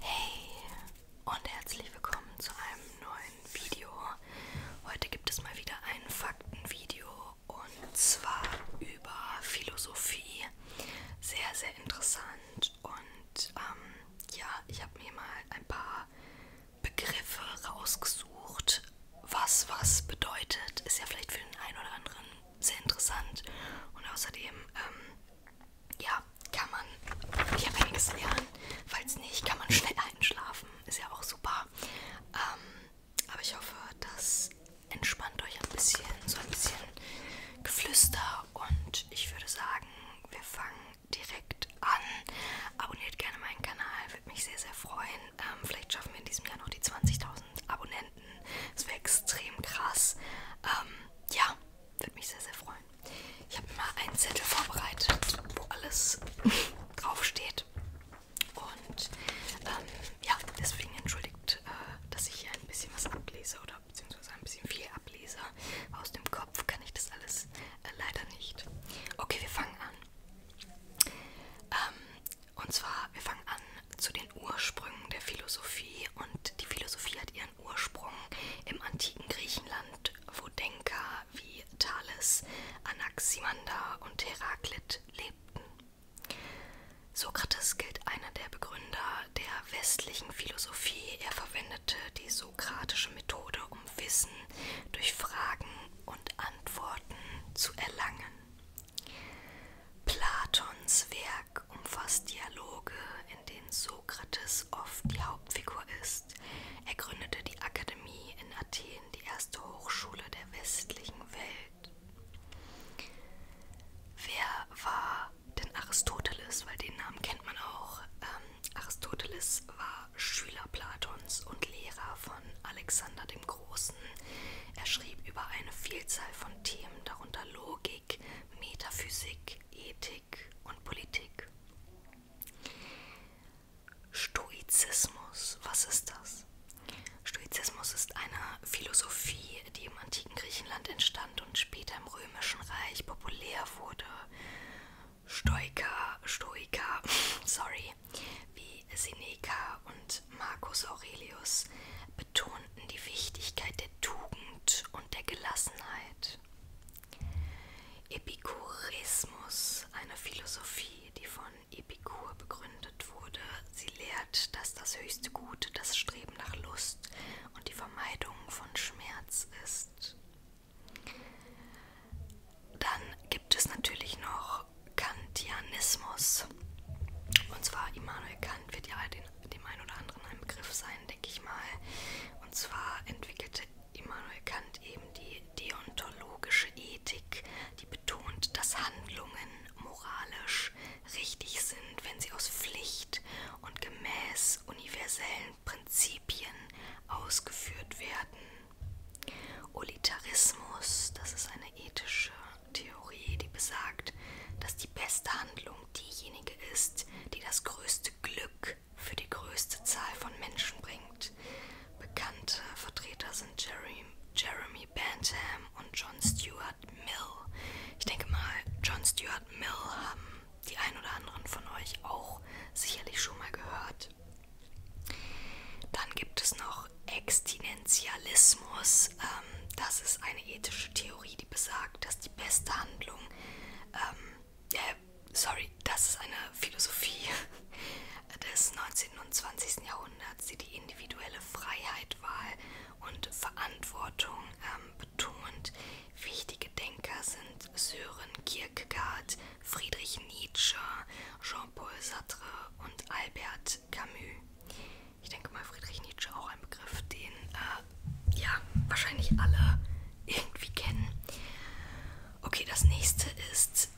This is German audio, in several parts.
Hey und herzlich willkommen zu einem neuen Video. Heute gibt es mal wieder ein Faktenvideo und zwar über Philosophie. Sehr, sehr interessant und ähm, ja, ich habe mir mal ein paar Begriffe rausgesucht, was was bedeutet. Ist ja vielleicht für den einen oder anderen sehr interessant. Und außerdem, ähm, ja, kann man ja einiges lernen. Falls nicht, kann man schnell einschlafen. Ist ja auch super. Ähm, aber ich hoffe, das entspannt euch ein bisschen, so ein bisschen Geflüster. Und ich würde sagen, wir fangen direkt an. Abonniert gerne meinen Kanal, würde mich sehr, sehr freuen. Ähm, vielleicht schaffen wir in diesem Jahr noch die 20.000 Abonnenten. Momenten. Es wäre extrem krass. Ähm, ja, würde mich sehr, sehr freuen. Ich habe mal einen Zettel vorbereitet, wo alles draufsteht. Und ähm, ja, deswegen entschuldigt, äh, dass ich hier ein bisschen was ablese oder beziehungsweise ein bisschen viel ablese. Aus dem Kopf kann ich das alles äh, leider nicht. Okay, wir fangen an. Ähm, und zwar, wir fangen an zu den Ursprüngen der Philosophie. Und die Philosophie hat ihren Ursprung im antiken Griechenland, wo Denker wie Thales, Anaximander und Heraklit lebten. Sokrates gilt einer der Begründer der westlichen Philosophie. Er verwendete die sokratische Methode, um Wissen durch Fragen und Antworten zu erlangen. Platons Werk umfasst Dialoge, in denen Sokrates oft die Hauptfigur ist. Er gründete die Akademie in Athen, die erste Hochschule der westlichen Welt. Wer war denn Aristoteles? Weil den Namen kennt man auch. Ähm, Aristoteles war Schüler Platons und Lehrer von Alexander dem Großen. Großen. Er schrieb über eine Vielzahl von Themen, darunter Logik, Metaphysik, Ethik und Politik. Stoizismus, was ist das? Stoizismus ist eine Philosophie, die im antiken Griechenland entstand und später im römischen Reich populär wurde. Stoiker, Stoiker, sorry, wie Seneca und Marcus Aurelius betonten die Wichtigkeit der Tugend und der Gelassenheit. Epikurismus, eine Philosophie, die von Epikur begründet wurde, sie lehrt, dass das höchste Gute das Streben nach Lust und die Vermeidung von Schmerz ist. Dann gibt es natürlich noch auch Kantianismus. Und zwar Immanuel Kant wird ja den, dem einen oder anderen ein Begriff sein, denke ich mal. Und zwar entwickelte Immanuel Kant eben die deontologische Ethik, die betont, dass Handlungen moralisch richtig sind, wenn sie aus Pflicht und gemäß universellen Prinzipien ausgeführt werden. Utilitarismus, das ist eine ethische Theorie, die besagt, dass die beste Handlung diejenige ist, die das größte Glück für die größte Zahl von Menschen bringt. Bekannte Vertreter sind Jeremy, Jeremy Bentham und John Stuart Mill. Ich denke mal, John Stuart Mill haben die ein oder anderen von euch auch sicherlich schon mal gehört. Dann gibt es noch Extinenzialismus. Ähm, das ist eine ethische Theorie, die besagt, dass die beste Handlung, ähm, äh, sorry, das ist eine Philosophie des 19. und 20. Jahrhunderts, die die individuelle Freiheit, Wahl und Verantwortung ähm, betont. Wichtige Denker sind Sören Kierkegaard, Friedrich Nietzsche, Jean-Paul Sartre und Albert Camus. Ich denke mal, Friedrich Nietzsche auch ein Begriff, den äh, ja wahrscheinlich alle irgendwie kennen. Okay, das nächste ist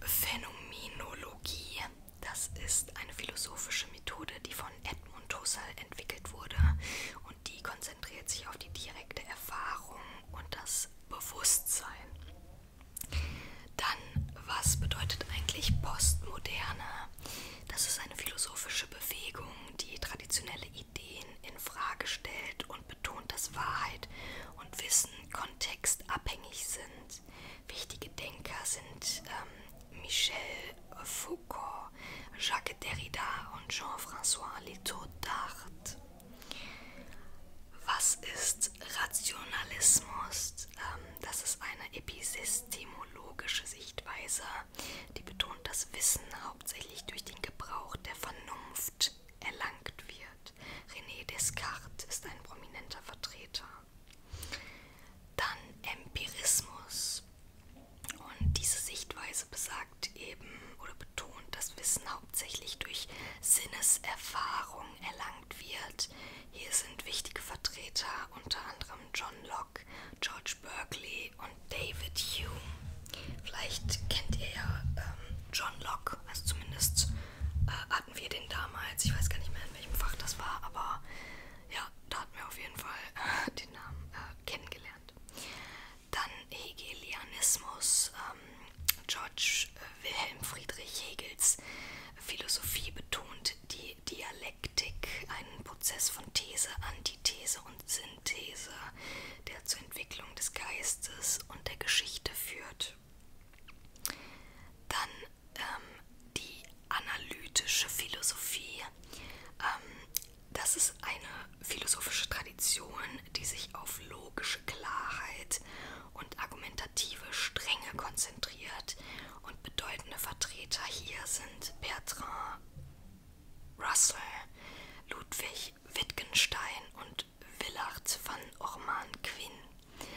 Phänomenologie. Das ist eine philosophische Methode, die von Edmund Husserl entwickelt wurde und die konzentriert sich auf die direkte Erfahrung und das Bewusstsein. Dann, was bedeutet eigentlich Postmoderne? Das ist eine philosophische Bewegung, die traditionelle Ideen in Frage stellt und betont, dass Wahrheit und Wissen kontextabhängig sind. Wichtige Denker sind ähm, Michel Foucault, Jacques Derrida und Jean-François Litoudard. Was ist Rationalismus? Ähm, das ist eine epistemologische Sichtweise, die betont, dass Wissen hauptsächlich durch den Gebrauch der Vernunft erlangt wird. René Descartes ist ein prominenter Vertreter. Dann Empirismus. Und diese Sichtweise besagt eben oder betont, dass Wissen hauptsächlich durch Sinneserfahrung erlangt wird. Hier sind wichtige Vertreter unter anderem John Locke, George Berkeley und David Hume. Vielleicht kennt ihr ja ähm, John Locke, also zumindest äh, hatten wir den damals. Ich weiß gar nicht mehr, in welchem Fach das war, aber ja, da hatten wir auf jeden Fall äh, den Namen äh, kennengelernt. Dann Hegelianismus ähm, George Wilhelm Friedrich Hegels Philosophie betont die Dialektik, einen Prozess von These, Antithese und Synthese, der zur Entwicklung des Geistes und der Geschichte führt. Dann ähm, die analytische Philosophie. Ähm, das ist eine philosophische Tradition Intuition, die sich auf logische Klarheit und argumentative Strenge konzentriert und bedeutende Vertreter hier sind Bertrand Russell, Ludwig Wittgenstein und Willard van Orman Quinn.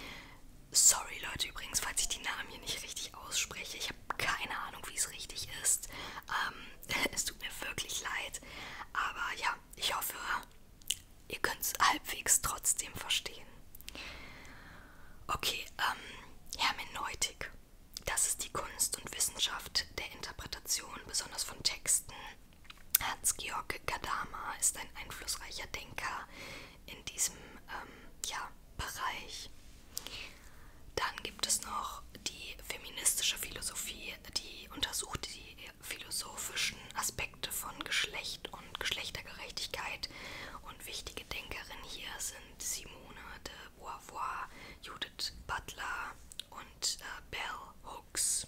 Sorry Leute übrigens, falls ich die Namen hier nicht richtig ausspreche. Ich habe keine Ahnung, wie es richtig ist. Ähm, es tut mir wirklich leid. Aber ja, ich hoffe, ihr könnt es halbwegs trotzdem verstehen. Okay, ähm, Hermeneutik. Das ist die Kunst und Wissenschaft der Interpretation, besonders von Texten. Hans-Georg Gadamer ist ein einflussreicher Denker in diesem ähm, ja, Bereich. Dann gibt es noch die feministische Philosophie, die untersucht die philosophischen Aspekte von Geschlecht und Geschlechtergerechtigkeit. Und wichtige Denkerinnen hier sind Simone de Beauvoir, Judith Butler und äh, Bell Hooks.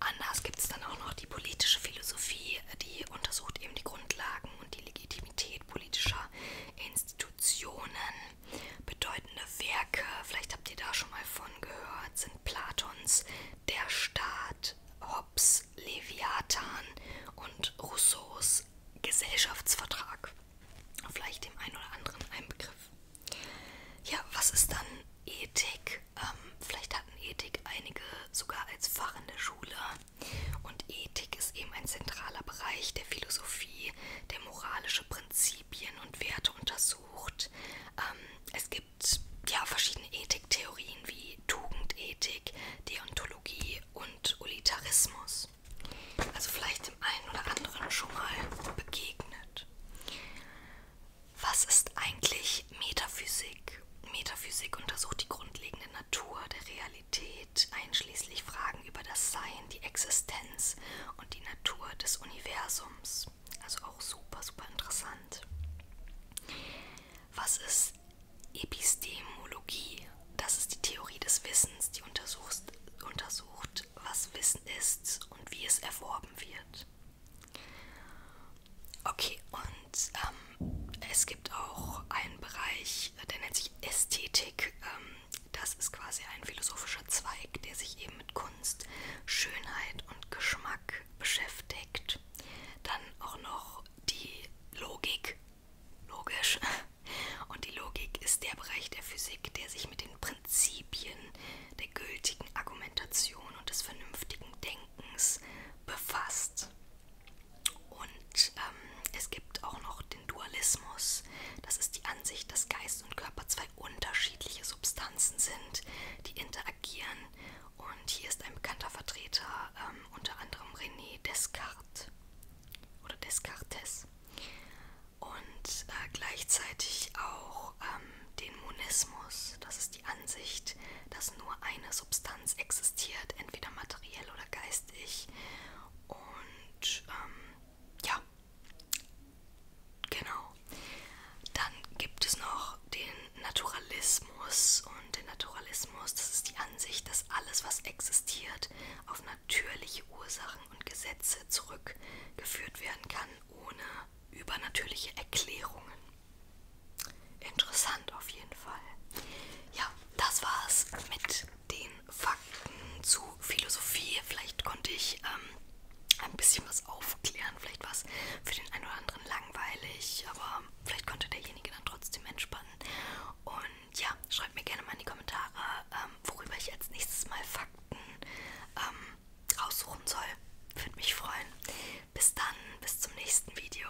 Anders gibt es dann auch noch die politische Philosophie, die untersucht eben die Grundlagen und die Legitimität politischer Institutionen. Bedeutende Werke, vielleicht habt ihr da schon mal von gehört, sind Platons Der Staat, Hobbes Leviathan und Rousseaus Gesellschaftsvertrag. Vielleicht dem einen oder anderen ein Begriff. Ja, was ist dann Ethik? Ähm, vielleicht hatten Ethik einige sogar als Fach in der Schule. Und Ethik ist eben ein zentraler Bereich der Philosophie Theorie der moralische Prinzipien und Werte untersucht. Ähm, es gibt ja verschiedene Ethiktheorien wie Tugendethik, Deontologie und Utilitarismus. Also vielleicht dem einen oder anderen schon mal begegnet. Was ist eigentlich Metaphysik? Metaphysik untersucht die grundlegende Natur der Realität Spiritualität, einschließlich Fragen über das Sein, die Existenz und die Natur des Universums. Also auch super, super interessant. Was ist Epistemologie? Das ist die Theorie des Wissens, die untersucht, untersucht was Wissen ist und wie es erworben wird. Okay, und ähm, es gibt auch einen Bereich, sich, der nennt sich Ästhetik. Ähm, das ist quasi ein philosophischer Zweig, der sich eben mit Kunst, Schönheit und Geschmack beschäftigt. Dann auch noch die Logik. Logisch. Und die Logik ist der Bereich der Physik, der sich mit den Prinzipien der gültigen Argumentation und des vernünftigen Denkens befasst. Und ähm, es gibt auch noch den Dualismus. Das ist die Ansicht, dass Geist und Körper zwei unterschiedliche Substanzen sind, die interagieren. Und hier ist ein bekannter Vertreter, ähm, unter anderem René Descartes oder Descartes. Und äh, gleichzeitig auch ähm, den Monismus. Das ist die Ansicht, dass nur eine Substanz existiert, entweder materiell oder geistig. Und ähm, ja, genau. Dann gibt es noch den Naturalismus. Und den Naturalismus, das ist die Ansicht, dass alles, was existiert, auf natürliche Ursachen und Gesetze zurückgeführt werden kann, ohne übernatürliche Erklärungen. Interessant auf jeden Fall. Ja, das war's mit den Fakten zu Philosophie. Vielleicht konnte ich ähm, ein bisschen was aufklären. Vielleicht war es für den einen oder anderen langweilig, aber vielleicht konnte derjenige dann trotzdem entspannen. Und ja, schreibt mir gerne mal in die Kommentare, ähm, worüber ich als nächstes Mal Fakten ähm, raussuchen soll. Würde mich freuen. Bis dann, bis zum nächsten Video.